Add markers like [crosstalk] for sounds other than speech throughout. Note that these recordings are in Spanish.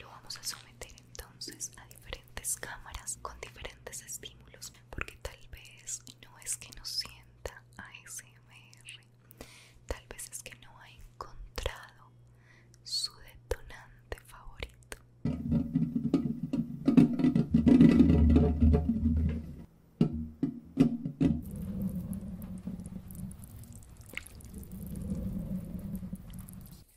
Lo vamos a someter entonces a diferentes cámaras con diferentes estímulos, porque tal vez no es que no sienta ASMR, tal vez es que no ha encontrado su detonante favorito.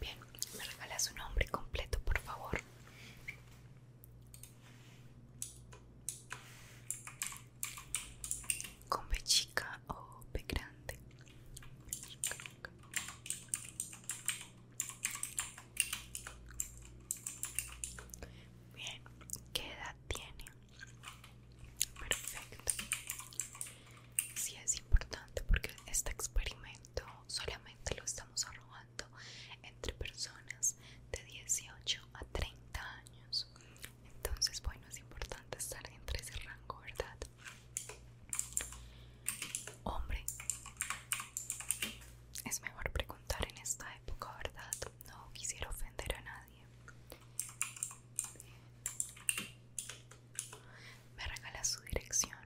Bien, me regala su nombre completo, por favor. Con chica o B grande. Bien, ¿qué edad tiene? Perfecto sí es importante porque este experimento solamente lo estamos arrojando entre personas de 18 a 30 años. Entonces, bueno, es importante estar entre ese rango, ¿verdad? Hombre, es mejor preguntar en esta época, ¿verdad? No quisiera ofender a nadie. Me regala su dirección.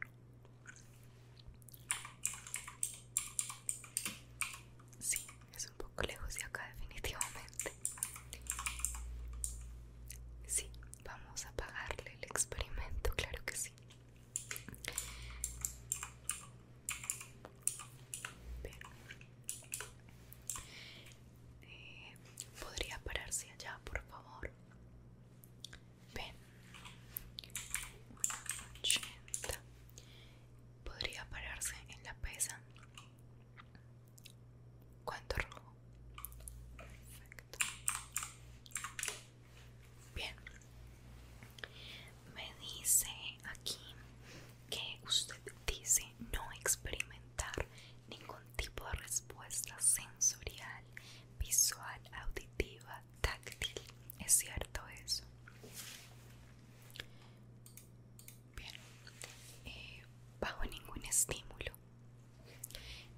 Sí, es un poco lejos de acá definitivamente. Sí, vamos a pagarle el experimento, claro que sí. Bien. Eh, ¿Podría pararse allá, por favor? Ven. 80. ¿Podría pararse en la pesa? ¿Cuánto rojo? Perfecto. Bien. Me dice aquí que usted dice no experimentar ningún tipo de respuesta sensorial, visual, auditiva, táctil. ¿Es cierto eso? Bien, eh, bajo ningún estímulo,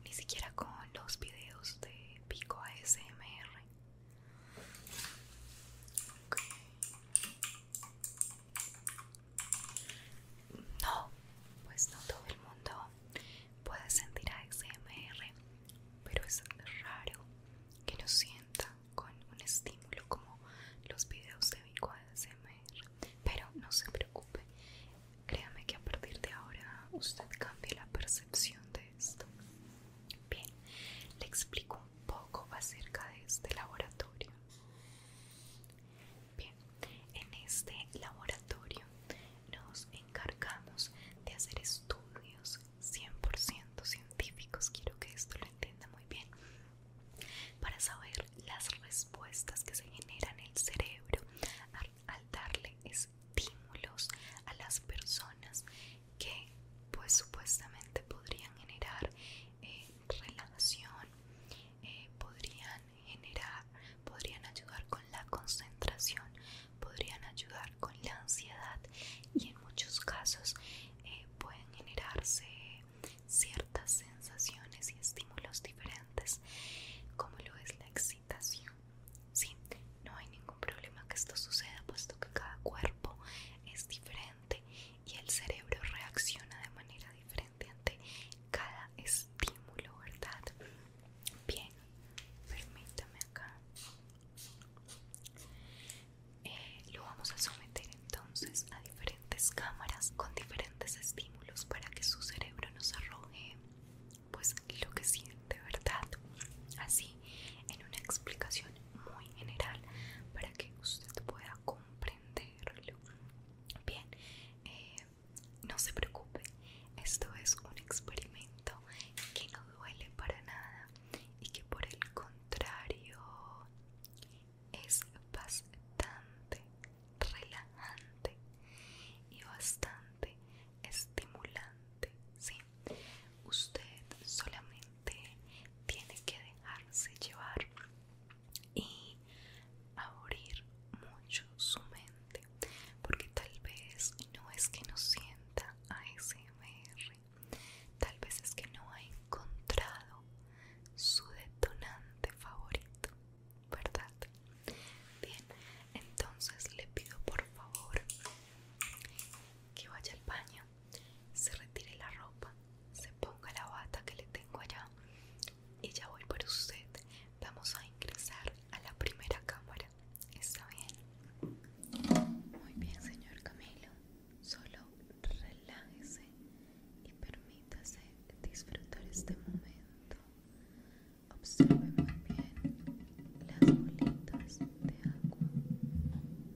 ni siquiera con los videos de Pico ASMR. No, pues no todo el mundo puede sentir ASMR, pero es raro que lo sienta con un estímulo como los videos de Vico ASMR. Pero no se preocupe, créame que a partir de ahora usted cambie la percepción de esto. Bien, le explico un poco acerca de este laboratorio. Bien, en este laboratorio nos encargamos de hacer estudios 100% científicos, quiero que esto lo entienda muy bien, para saber las respuestas que se generan en el cerebro al, darle estímulos a las personas que pues supuestamente podrían generar eh, relación eh, podrían generar, podrían ayudar con la concentración, podrían ayudar con la ansiedad y en muchos casos eh, pueden generarse ciertas sensaciones y estímulos diferentes como lo es la excitación. Sí, no hay ningún problema que esto suceda puesto que cada cuerpo es diferente y el cerebro reacciona de manera diferente cada estímulo, ¿verdad? Bien, permítame acá. Eh, lo vamos a someter entonces a diferentes cámaras con diferentes estímulos para que su cerebro nos arroje pues lo que siente, ¿verdad? Así, en una explicación muy general para que usted pueda comprender Bien, eh, no se preocupe, esto es un experimento que no duele para nada y que por el contrario es bastante relajante y bastante estimulante. Usted solamente tiene que dejarse llevar y abrir mucho su mente porque tal vez no es que no sienta ASMR tal vez es que no ha encontrado su detonante favorito verdad bien entonces le pido por favor que vaya al baño se retire la ropa, se ponga la bata que le tengo allá y ya voy por usted. Vamos a ingresar a la primera cámara. ¿Está bien? Muy bien, señor Camilo. Solo relájese y permítase disfrutar este momento. Observe muy bien las bolitas de agua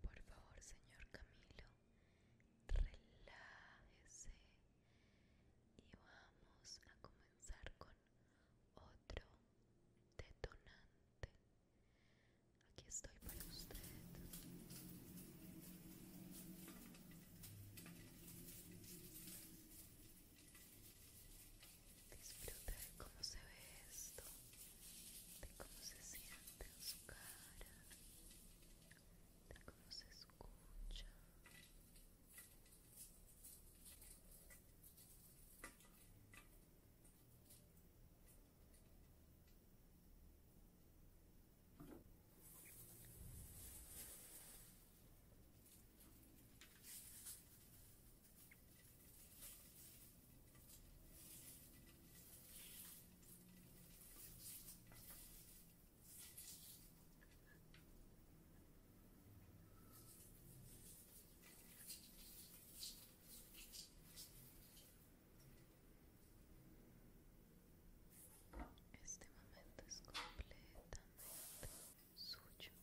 Por favor, señor Camilo, relájese y vamos a comenzar con otro detonante. Aquí estoy para usted. Disfruta de cómo se ve esto, de cómo se siente en su cara, de cómo se escucha. Este momento es completamente suyo.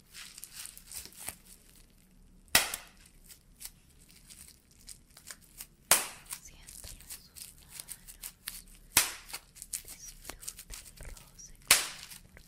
Siéntalo en sus manos. Disfruta el roce con Siente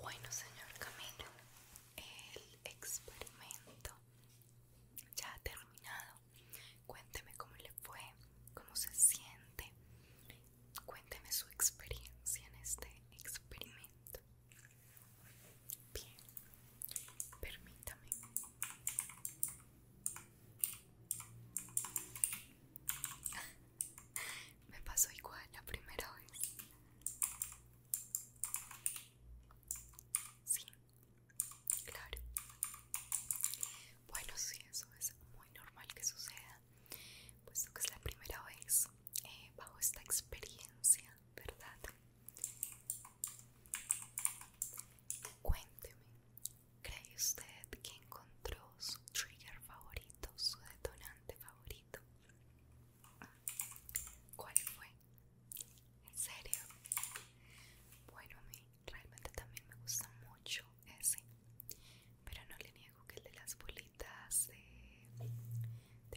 Bueno, señor Camilo, el experimento ya ha terminado. Cuénteme cómo le fue, cómo se siente. Cuénteme su experiencia en este experimento. Bien, permítame. [laughs] Me pasó igual la primera vez. Sí, Claro. Bueno, sí, eso es muy normal que suceda, puesto que es la primera vez eh, bajo esta experiencia, ¿verdad? Cuénteme, ¿cree usted que encontró su trigger favorito, su detonante favorito? ¿Cuál fue? en serio bueno a mí realmente también me gusta mucho ese pero no le niego que el de las bolitas de,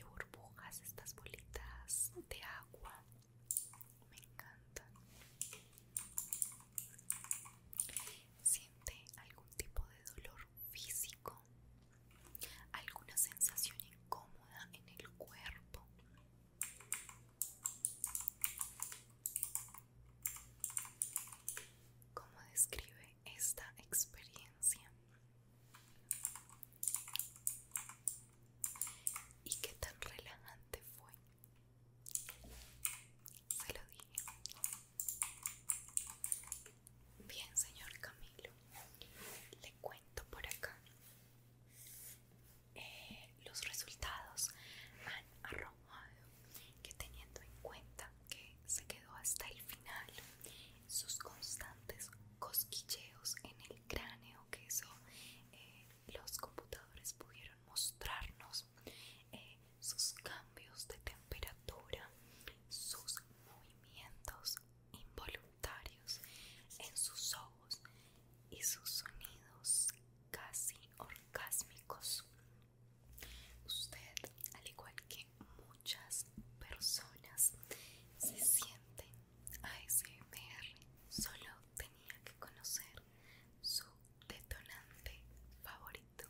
burbujas estas bolitas de agua me encantan siente algún tipo de dolor físico alguna sensación incómoda en el cuerpo ¿Cómo describe esta experiencia? ¿Y qué tan relajante fue? Se lo dije. Bien, señor Camilo, le cuento por acá eh, los resultados han arrojado que teniendo en cuenta que se quedó hasta el final, sus constantes cosquilleos en el cráneo, que eso eh, los computadores pudieron mostrarnos, eh, sus cambios de temperatura, sus movimientos involuntarios en sus ojos y sus sonidos casi orgásmicos. Usted, al igual que muchas personas, se siente ASMR. Solo tenía que conocer su detonante favorito.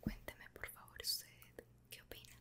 Cuénteme por favor usted qué opina.